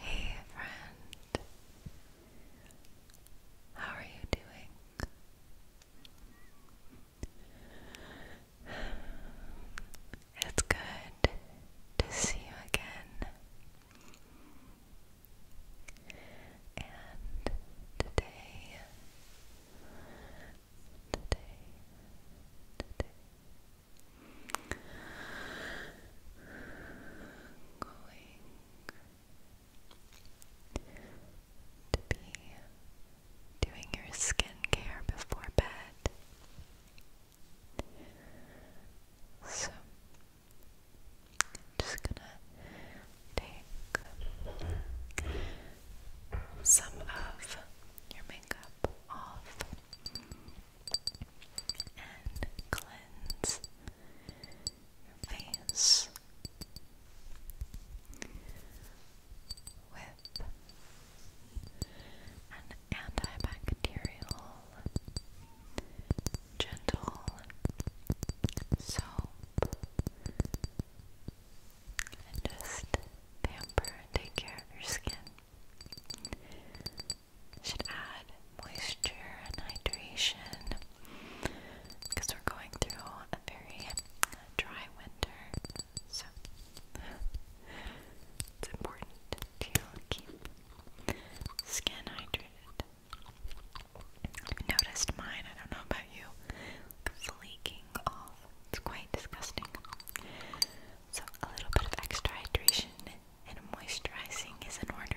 Hey, friend, how are you doing? It's good to see you again. And today, today, today, going to be doing your skincare before bed. So, just gonna take some of your makeup off and cleanse your face with an antibacterial gentle soap and just pamper and take care of your skin. should add moisture and hydration because we're going through a very dry winter, so it's important to keep skin hydrated i noticed mine, I don't know about you, flaking off. It's quite disgusting. So, a little bit of extra hydration and moisturizing is in order.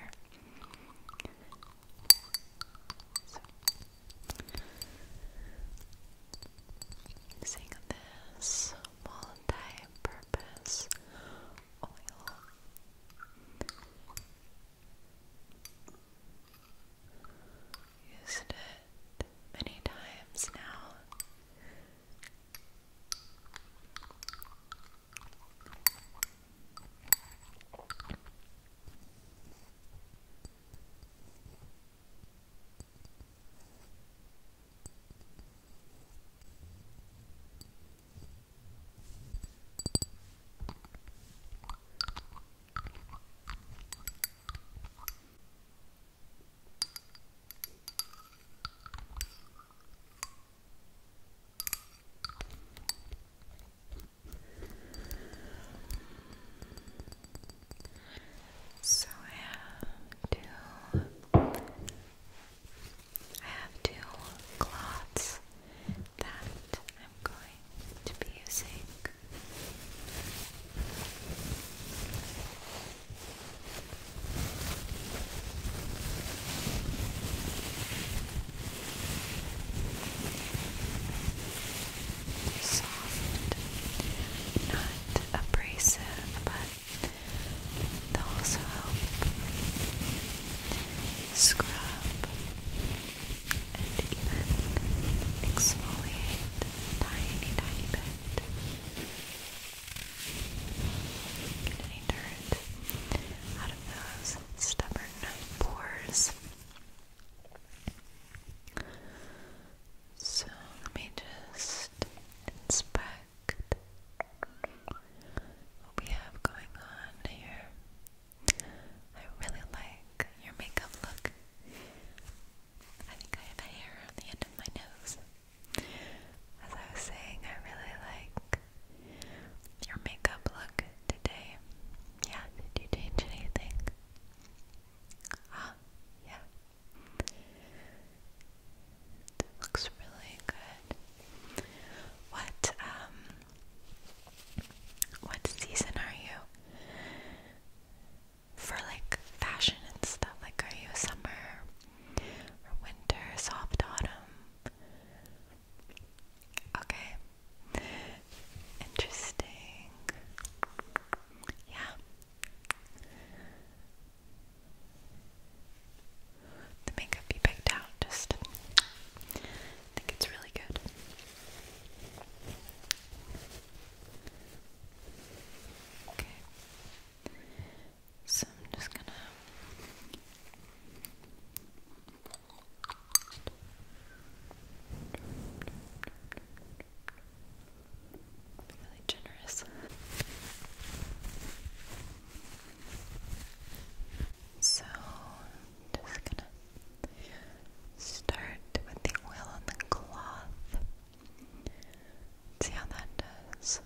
using this multi purpose oil. Used it many times now. So I have two I have two cloths that I'm going to be using. Soft, not abrasive, but they'll also help scrub and even exfoliate tiny, tiny bit. Get dirt out of those stubborn pores. So let me just inspect what we have going on here. I really like your makeup look. I think I have hair on the end of my nose. As I was saying, I really like your makeup look today. Yeah, did you change anything? Ah, yeah. looks really good. What um what season are you? For like fashion and stuff, like are you summer or winter, soft autumn? Okay. Interesting. Yeah. The makeup you picked out just I think it's really good. Okay. So I'm just gonna be really generous. So, just gonna start with the oil on the cloth. see how that does.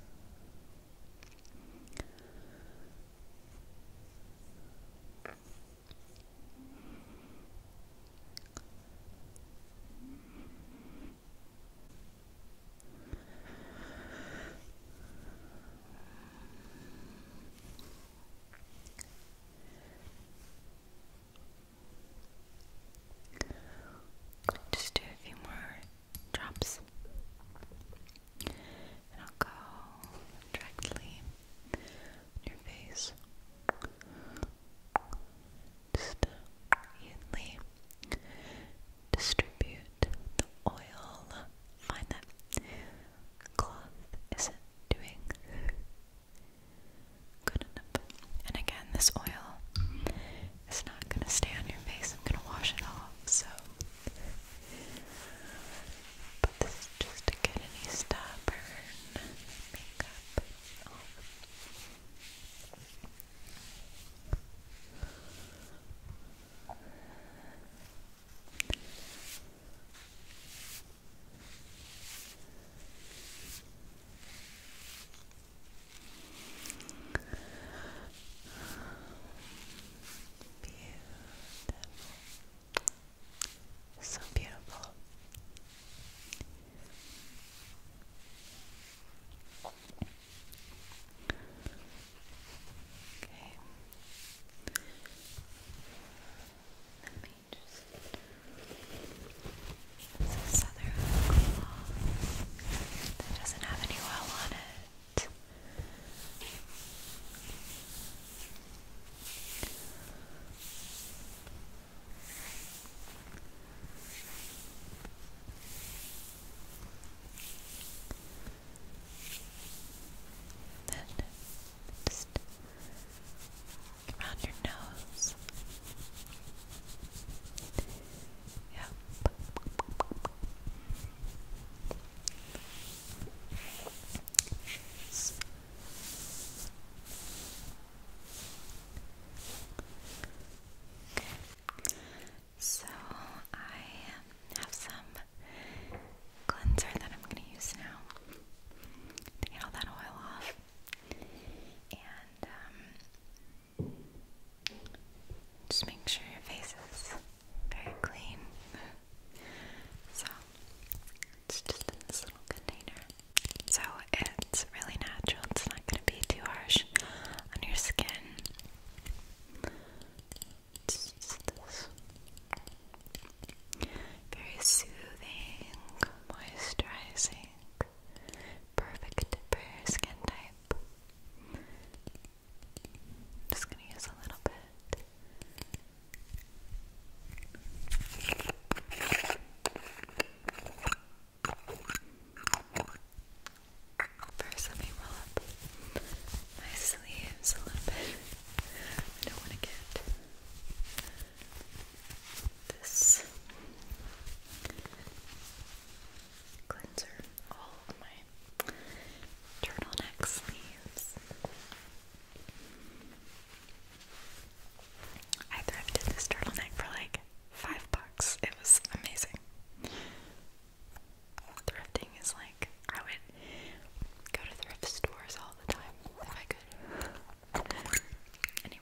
Just do a few more drops, and I'll go directly your face, just evenly distribute the oil. Find that cloth isn't doing good enough. And again, this oil is not going to stay on your face. I'm going to wash it off. So, but this is just to get any stubborn makeup Beautiful. So beautiful. Okay. Let me just. that doesn't have any oil on it. Then just around your nose. Yep. Okay. So I have some cleanser that I'm going to use now to get all that oil off. And um, just make sure your face is very clean. so it's just in this little container. So it's really natural, it's not going to be too harsh on your skin. It's just this very soothing, moisturizing, perfect for your skin type. just gonna use a little bit. First, let me roll up my sleeves a little bit. I don't want to get this cleanser all of my turtleneck sleeves. I thrifted this turtleneck for like five bucks. It was amazing. Thrifting is like I would go to thrift stores all the time if I could. Anyways.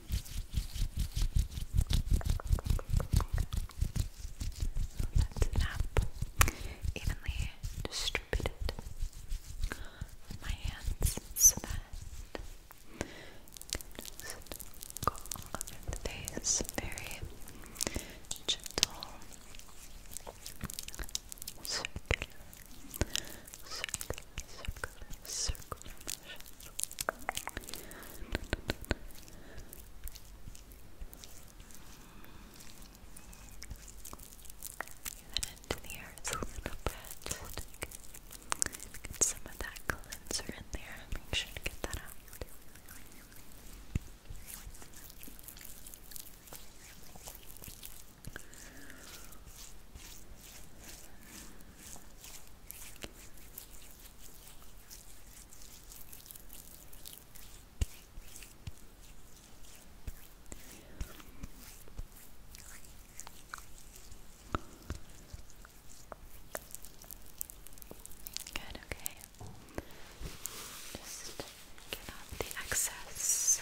let evenly distributed my hands so that you can just go all over the face very gentle circle, even into the earth a little bit. Get some of that cleanser in there. Make sure to get that out. Good, okay. Just get off the excess.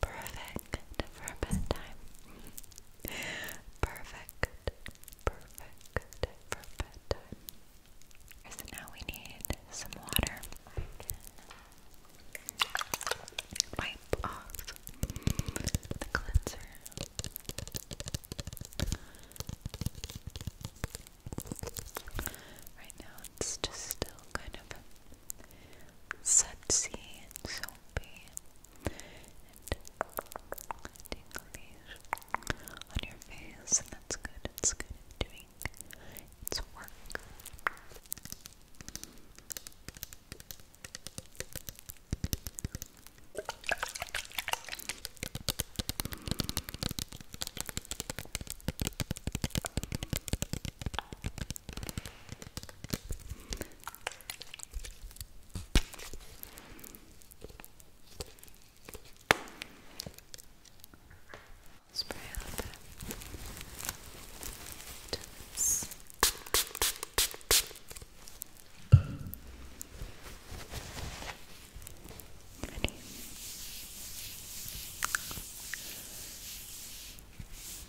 perfect for bedtime. Perfect, perfect for bedtime. now we need some water. wipe off the cleanser. Right now it's just still kind of sudsy and soapy and tinglish on your face, that's good. It's good doing its work. Spray a little bit into this. Ready?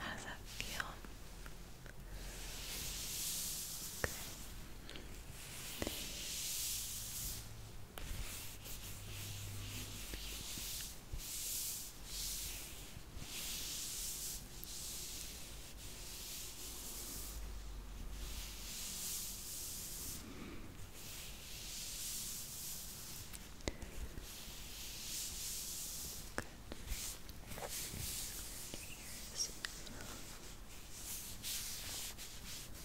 How does that feel? Okay. Good. Here's. Okay, I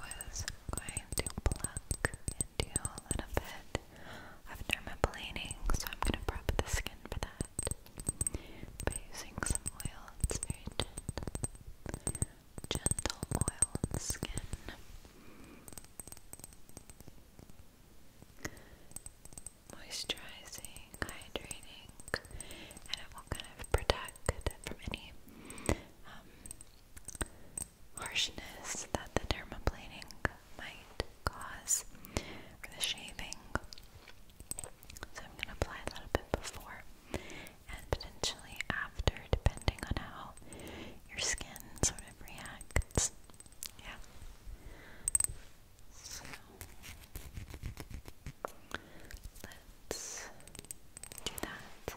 was going to pluck and do a little bit of dermaplaning, so I'm going to prep the skin for that by using some oil. It's very gentle, gentle oil on the skin. Moisturizing, hydrating, and it will kind of protect from any um, harshness that the dermaplaning might cause, or the shaving. So I'm going to apply a little bit before and potentially after, depending on how your skin sort of reacts. Yeah. So let's do that.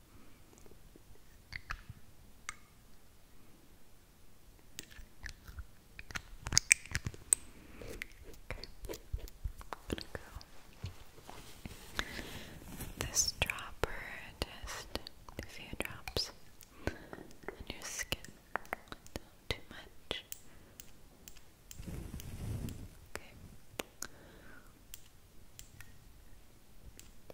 Okay. i this dropper just a few drops on your skin. too much.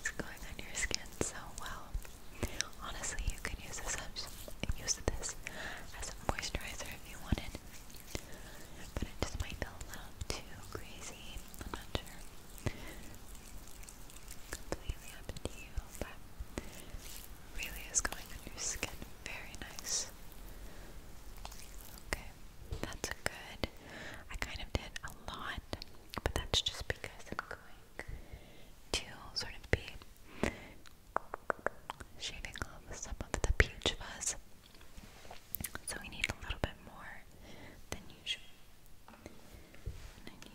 It's going on your skin so well. Honestly, you can use this as, use this as a moisturizer if you wanted, but it just might be a little too crazy. I'm not sure. Completely up to you, but really is going on your skin very nice. Okay, that's good. I kind of did a lot, but that's just because to sort of be shaving off some of the peach fuzz. So we need a little bit more than usual. I need this.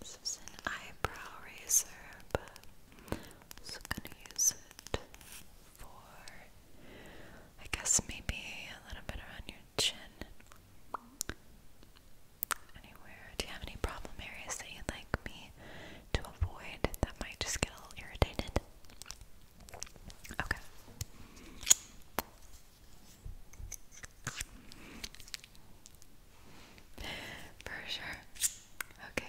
This is an eyebrow razor, but I'm also gonna use it for, I guess, maybe a little bit around your chin. Anywhere. Do you have any problem areas that you'd like me to avoid that might just get a little irritated? Okay. For sure. Okay.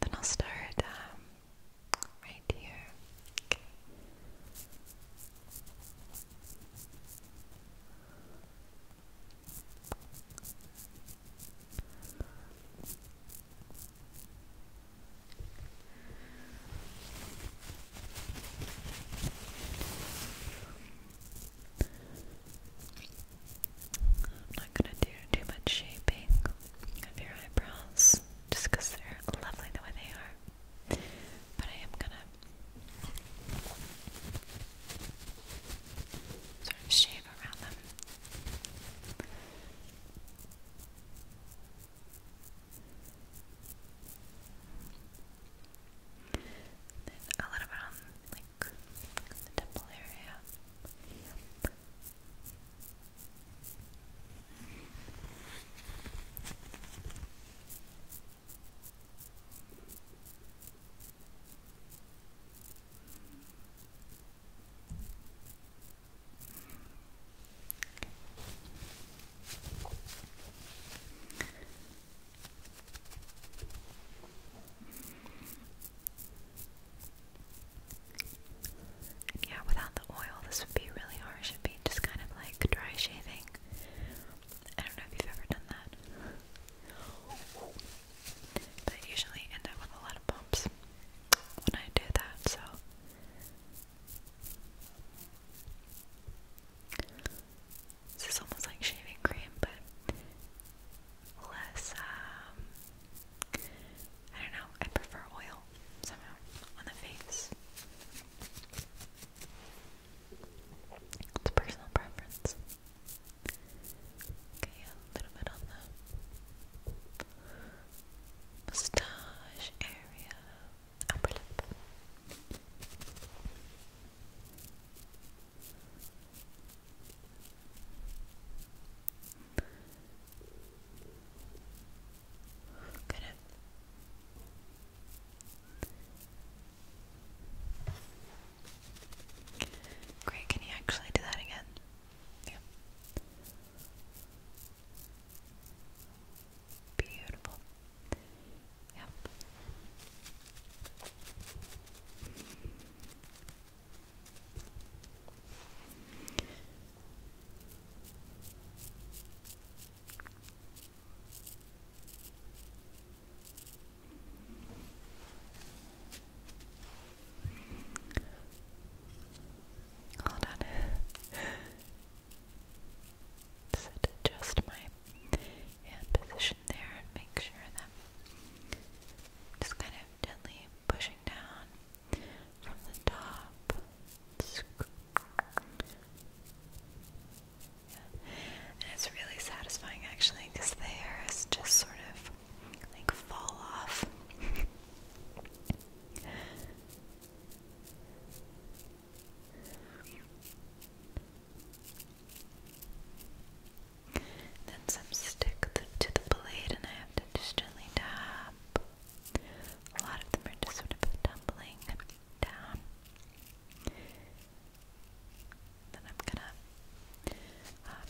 Then I'll start um, right here. Okay. I'm not gonna do too much shaping of your eyebrows just they're lovely the way they are. But I am gonna sort of shave around them. Then a little bit on um, like the temple area yeah, without the oil, this would be really hard. It should be just kind of like dry shaving. I don't know if you've ever done that. But I usually end up with a lot of bumps when I do that, so this is almost like shaving cream, but less, um, I don't know, I prefer oil somehow on the face. It's personal preference. Okay, a little bit on the mustache area upper Great, can you actually do that again? Yeah. Beautiful. Yep. Hold on. So adjust my hand position there and make sure that I'm just kind of gently pushing down from the top. Yeah. And it's really satisfying actually because the hair is just sort of like fall off. Then some stick to the blade, and I have to just gently tap. A lot of them are just sort of tumbling down. Then I'm gonna um,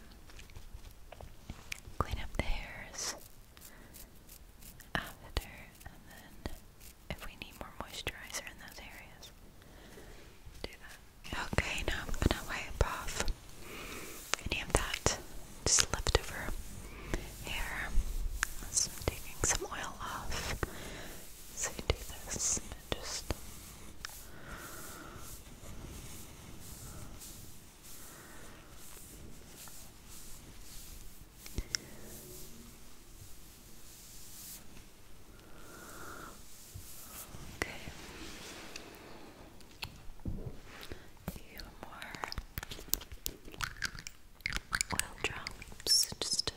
clean up the hairs after, and then if we need more moisturizer in those areas. Do that. Okay, now I'm gonna wipe off any of that just leftover hair. So I'm some oil off. So you do this just Okay. A few more oil drops just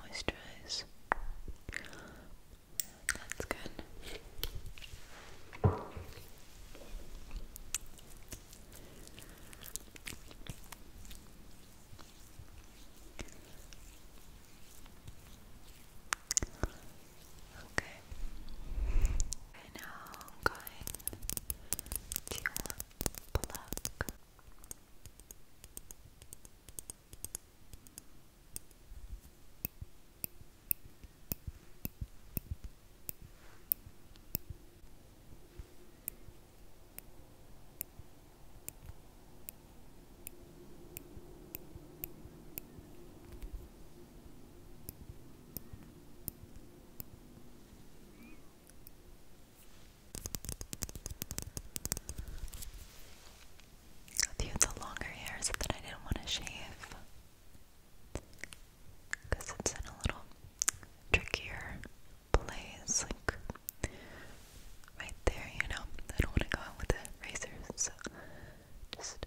moisturize. That's good. Okay. Right now I'm going to pluck. Okay. I viewed the longer hairs that I didn't want to shave because it's in a little trickier place, like right there, you know. I don't want to go out with the razors, so just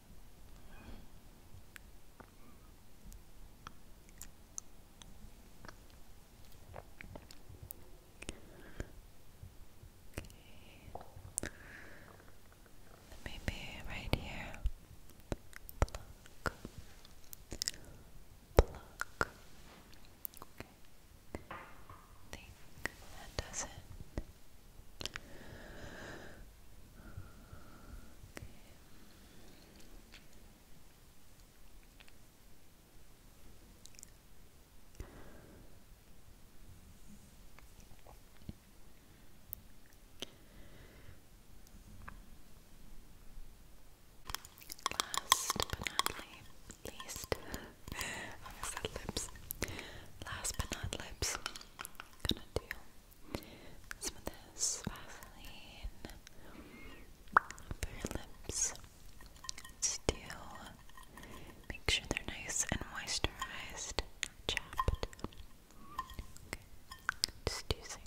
Okay. Maybe right here. Pluck. Pluck. that does it. Last but not least, I said lips. Last but not lips, gonna do some of this Vaseline for your lips to make sure they're nice and moisturized, chapped. just using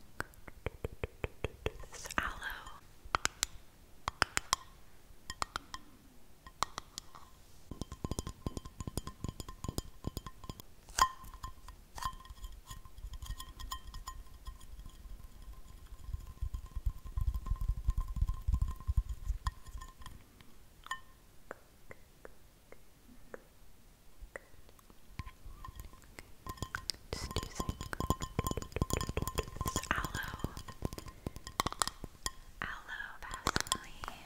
this aloe. Just using this aloe, aloe Vaseline.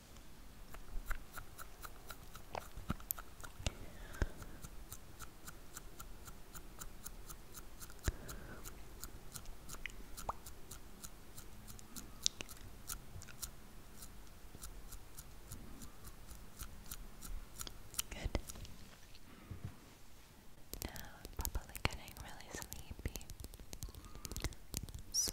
Good. Now I'm probably getting really sleepy. So,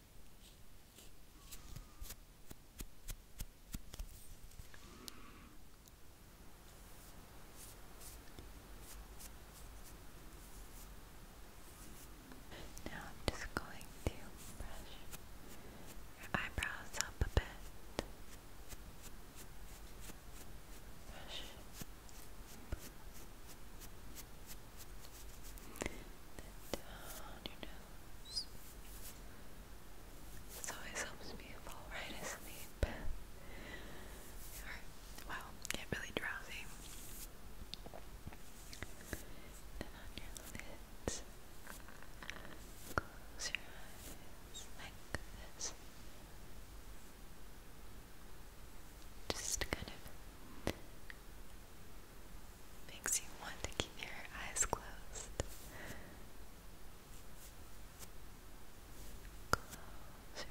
Now I'm just going to brush your eyebrows up a bit. Then down your nose. This always helps me fall right asleep. Or, well, get really drowsy. Then on your lids, close your eyes like this. Just kind of makes you want to keep your eyes closed. Close your eyes. Close your eyes.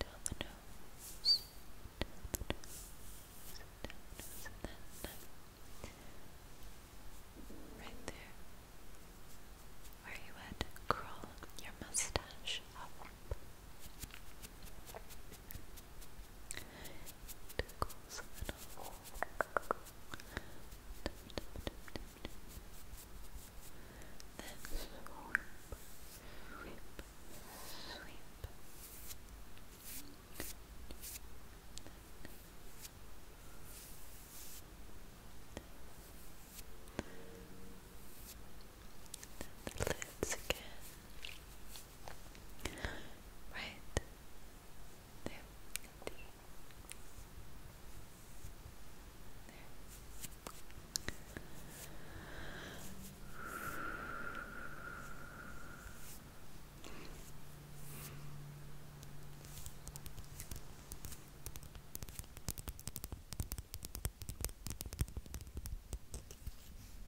down the nose, down the nose, down the nose, and then right there where you would curl your mustache up. Tickles a little. Then sweep, sweep, sweep. Then the again. Right. There. There.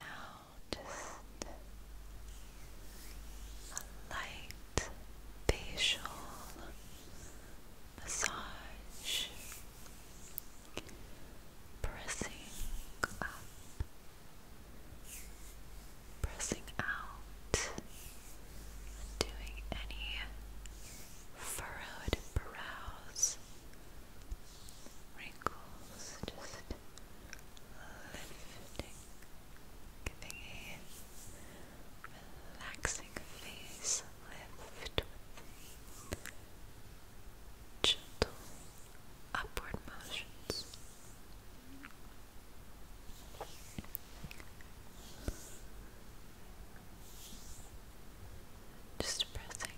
Now, just a light facial massage pressing up, pressing out, doing any furrowed brows, wrinkles, just lifting, giving a relaxing face lift with gentle upward motions. Just pressing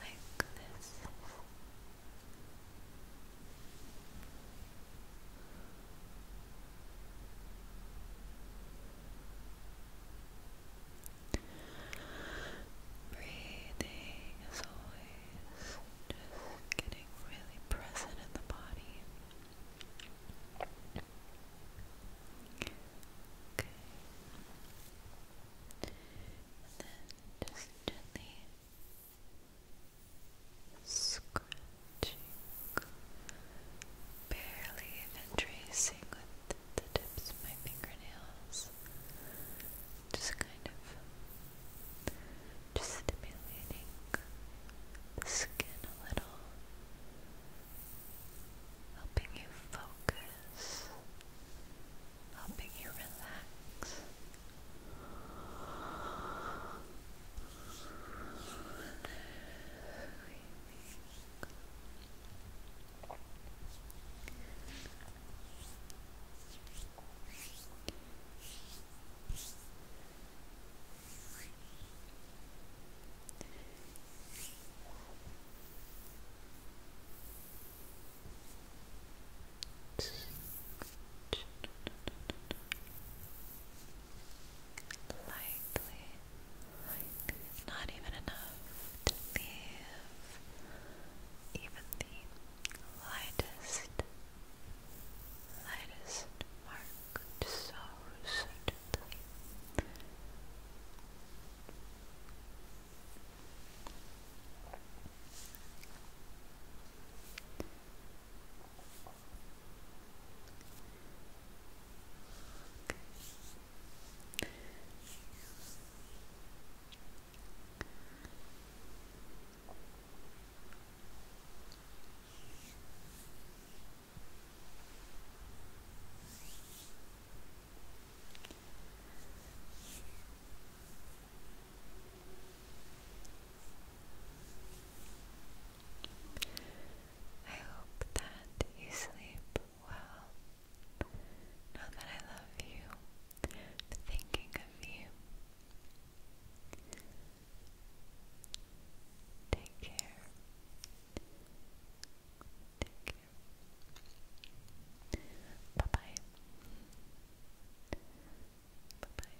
like this. Breathing as always, just getting really present in the body. Okay. And then just gently scratching, barely even tracing with the tips of my fingernails, just kind of just stimulating the skin a little, helping you focus, helping you relax breathing. Lightly like, not even enough to leave even the lightest, lightest mark so certainly. I hope that you sleep well. Now that I love you, thinking of you. Take care. Take care. Bye bye. Bye bye.